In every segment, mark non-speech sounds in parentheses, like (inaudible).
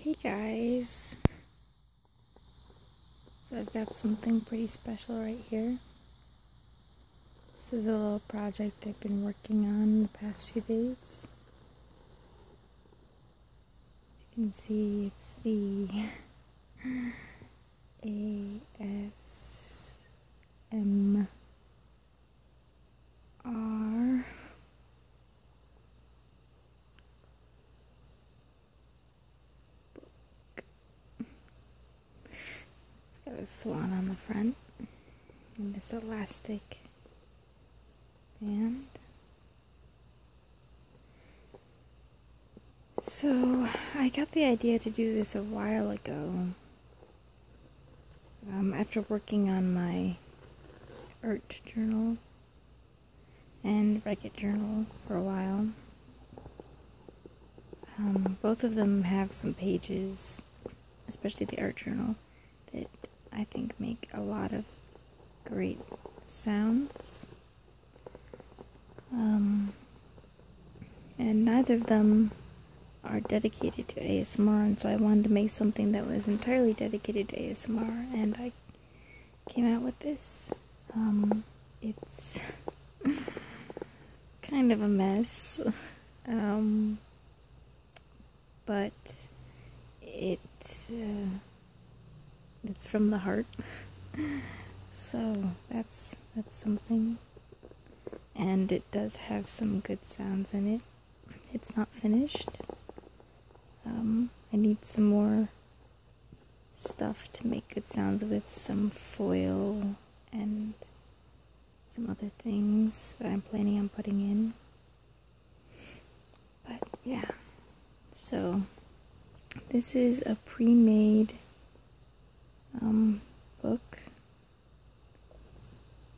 Hey guys! So I've got something pretty special right here. This is a little project I've been working on the past few days. you can see it's the (laughs) A S M. R It's got a swan on the front and this elastic band. So I got the idea to do this a while ago. Um, after working on my art journal and record journal for a while. Um, both of them have some pages, especially the art journal, that I think make a lot of great sounds. Um, and neither of them are dedicated to ASMR, and so I wanted to make something that was entirely dedicated to ASMR, and I came out with this. Um, it's (laughs) kind of a mess, (laughs) um, but it, uh, it's from the heart, (laughs) so that's, that's something, and it does have some good sounds in it it's not finished. Um, I need some more stuff to make good sounds with, some foil and some other things that I'm planning on putting in. But yeah, so this is a pre-made um, book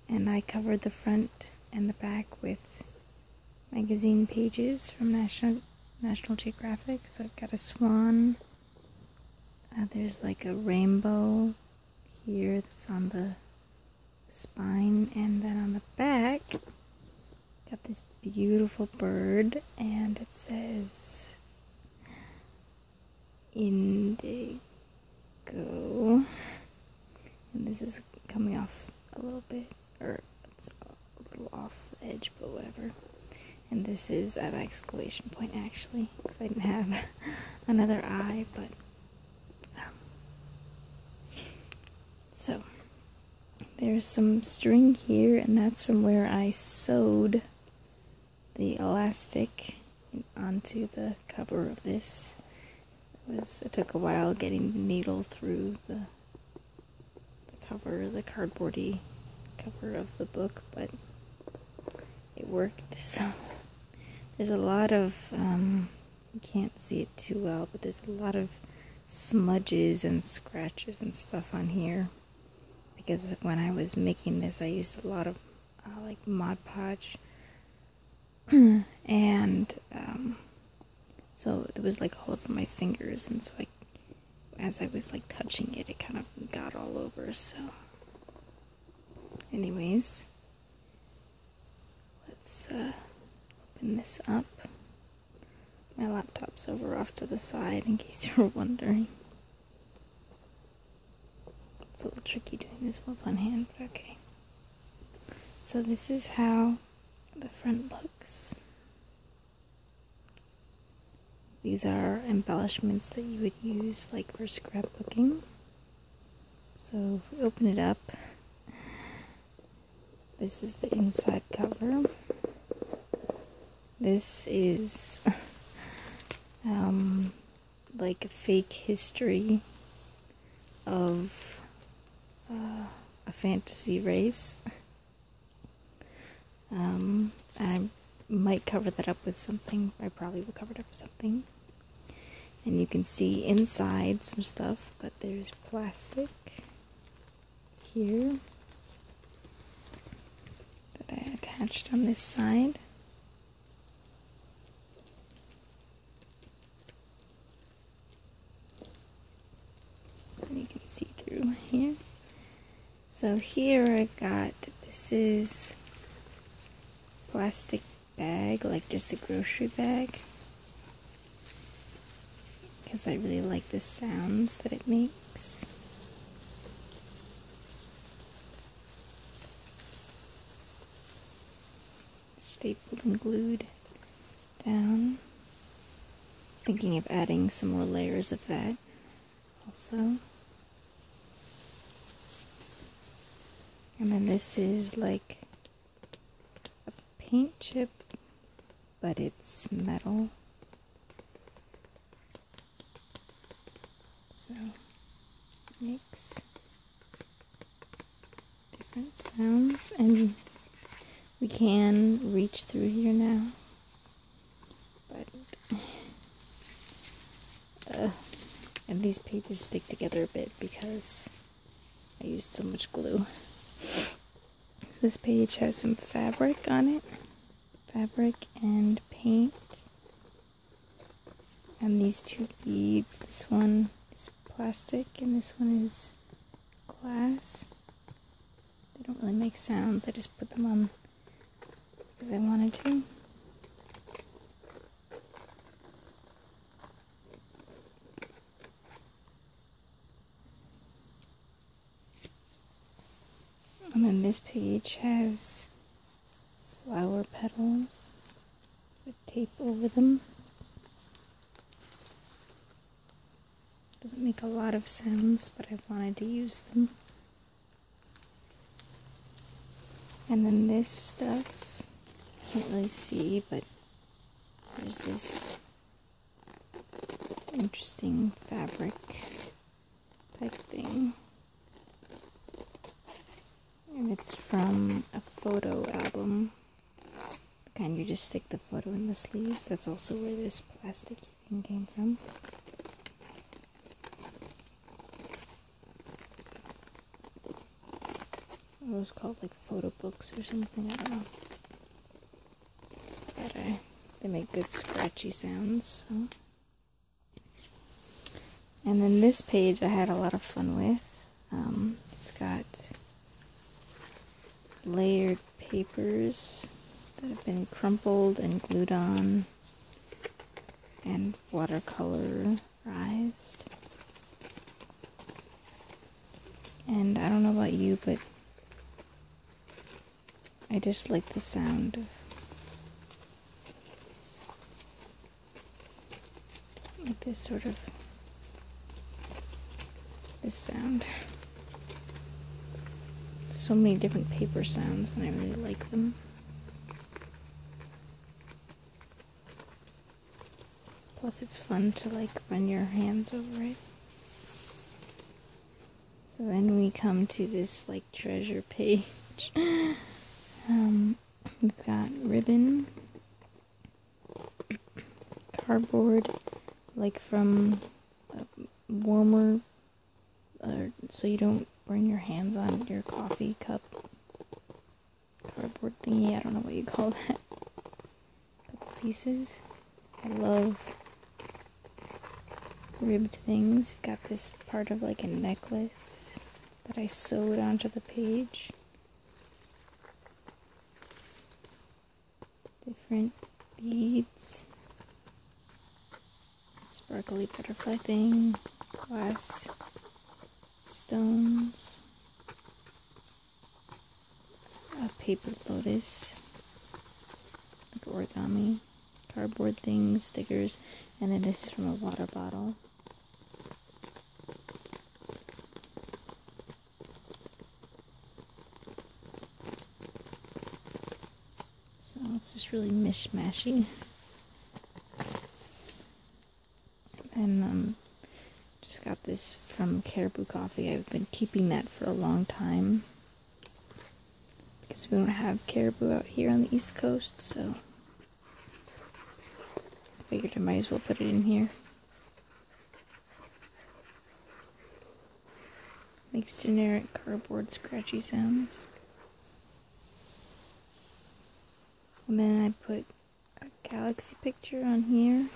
and I covered the front and the back with magazine pages from National Geographic. So I've got a swan. Uh, there's like a rainbow here that's on the spine, and then on the back, got this beautiful bird, and it says indigo go. And this is coming off a little bit, or it's a little off the edge, but whatever. And this is an exclamation point, actually, because I didn't have (laughs) another eye, but... Um, so, there's some string here, and that's from where I sewed the elastic onto the cover of this. It, took a while getting the needle through the, cover, the cardboardy cover of the book, but it worked. So there's a lot of, um, you can't see it too well, but there's a lot of smudges and scratches and stuff on here. Because when I was making this, I used a lot of uh, like Mod Podge (clears throat) and um, so it was like all over my fingers, and so as I was like touching it, it kind of got all over. So, anyways, let's uh, open this up. My laptop's over off to the side, in case (laughs) you were wondering. It's a little tricky doing this with one hand, but okay. So this is how the front looks. These are embellishments that you would use like for scrapbooking. So if we open it up, this is the inside cover. This is (laughs) um, like a fake history of uh, a fantasy race. Um, I might cover that up with something. I probably will cover it up with something. And you can see inside some stuff, but there's plastic here that I attached on this side. You can see through here. So here i got, this is plastic bag, like just a grocery bag. Because I really like the sounds that it makes stapled and glued down. Thinking of adding some more layers of that also. And then this is like a paint chip, but it's metal. So, mix different sounds and we can reach through here now. But uh, and these pages stick together a bit because I used so much glue. This page has some fabric on it. Fabric and paint and these two beads, this one is plastic and this one is glass. They don't really make sounds, I just put them on because I wanted to. And then this page has flower petals with tape over them. Doesn't make a lot of sense, but I wanted to use them. And then this stuff, can't really see, but there's this interesting fabric type thing. And it's from a photo album. The kind you just stick the photo in the sleeves. That's also where this plastic thing came from. It was called like photo books or something, I don't know. But uh, they make good scratchy sounds, and then this page I had a lot of fun with. Um, it's got layered papers that have been crumpled and glued on and watercolorized. And I don't know about you, but I just like the sound of like this sort of this sound. So many different paper sounds and I really like them. Plus it's fun to like run your hands over it. So then we come to this like treasure page. (laughs) Um, We've got ribbon, cardboard, like from warmer, uh, so you don't burn your hands on your coffee cup cardboard thingy. I don't know what you call that. pieces. I love ribbed things. We've Got this part of like a necklace that I sewed onto the page. Different beads, sparkly butterfly thing, glass stones, a paper lotus, origami, cardboard things, stickers, and then this is from a water bottle. So it's just really mishmashy. And um, just got this from Caribou Coffee. I've been keeping that for a long time. Because we don't have caribou out here on the East Coast, so Figured I might as well put it in here. Makes generic cardboard scratchy sounds. And then I put a galaxy picture on here.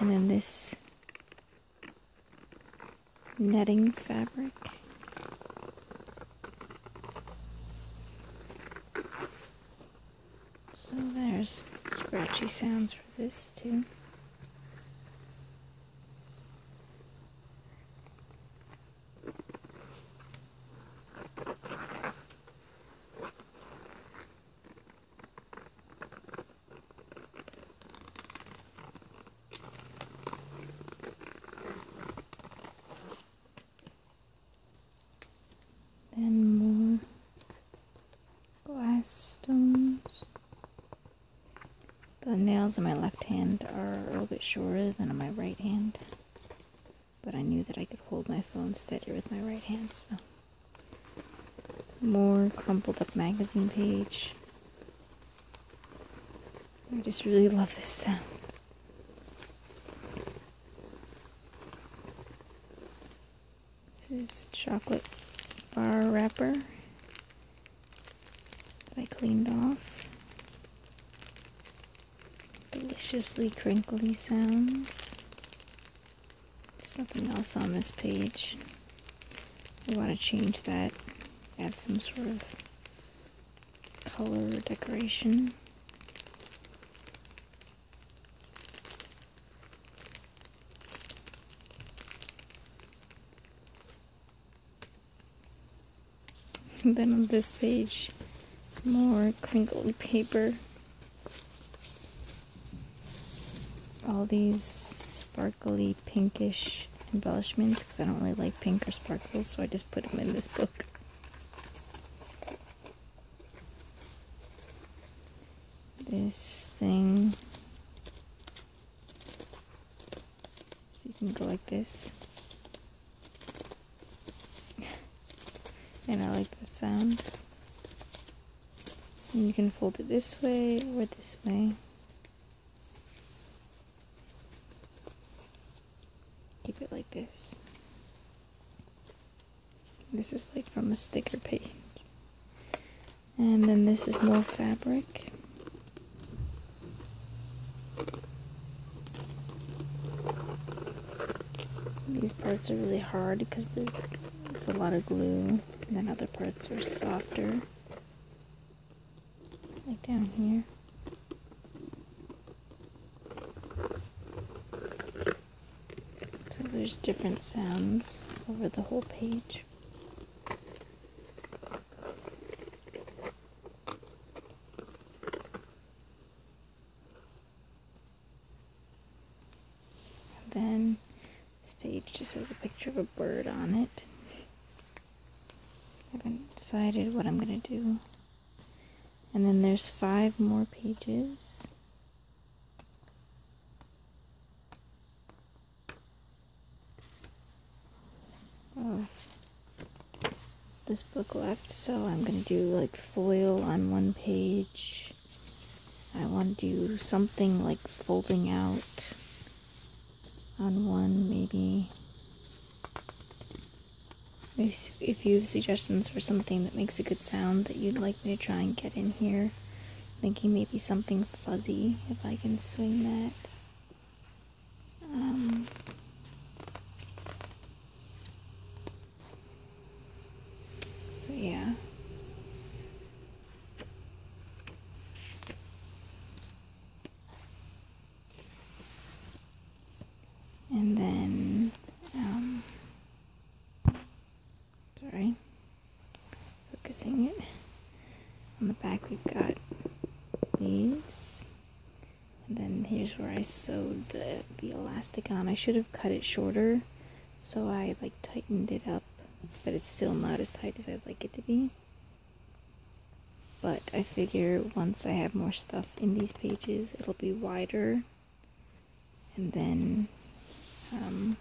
And then this netting fabric. So there's scratchy sounds for this too then more glass stones. The nails on my left hand are a little bit shorter than on my right hand, but I knew that I could hold my phone steadier with my right hand, so. More crumpled up magazine page. I just really love this sound. This is chocolate bar wrapper that I cleaned off. Deliciously crinkly sounds. There's nothing else on this page. We want to change that. Add some sort of color decoration. (laughs) then on this page, more crinkly paper. All these sparkly pinkish embellishments because I don't really like pink or sparkles, so I just put them in this book this thing so you can go like this (laughs) and I like that sound and you can fold it this way or this way Keep it like this. This is like from a sticker page. And then this is more fabric. These parts are really hard because there's a lot of glue. And then other parts are softer like down here. So there's different sounds over the whole page. then this page just has a picture of a bird on it. I haven't decided what I'm going to do and then there's five more pages. Oh, this book left, so I'm going to do like foil on one page. I want to do something like folding out on one, maybe. If you have suggestions for something that makes a good sound that you'd like me to try and get in here, thinking maybe something fuzzy, if I can swing that. Um, so yeah and then um, sorry focusing it on the back we've got leaves and then here's where I sewed the, the elastic on I should have cut it shorter so I like tightened it up but it's still not as tight as I'd like it to be but I figure once I have more stuff in these pages, it'll be wider. And then, um,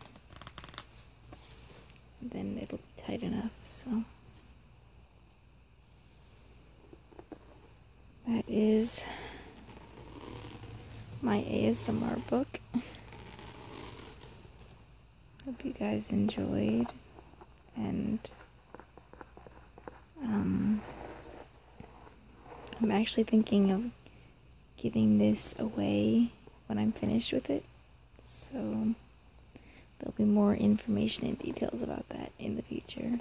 then it'll be tight enough, so. That is my ASMR book. Hope you guys enjoyed and um, I'm actually thinking of giving this away when I'm finished with it. So there'll be more information and details about that in the future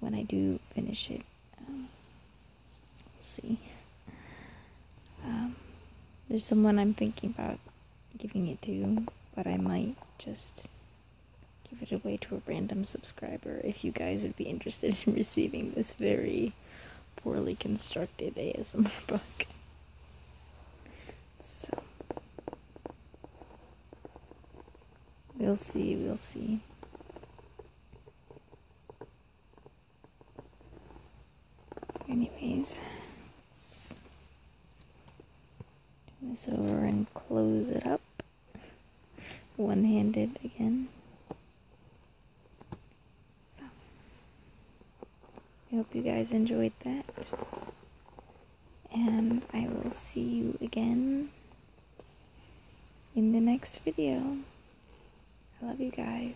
when I do finish it. Um, we see. Um, there's someone I'm thinking about giving it to, but I might just give it away to a random subscriber if you guys would be interested in (laughs) receiving this very poorly constructed ASMR (laughs) book. So, we'll see, we'll see. Anyways, Turn this over and close it up. One-handed again. So, I hope you guys enjoyed that. And I will see you again in the next video. I love you guys.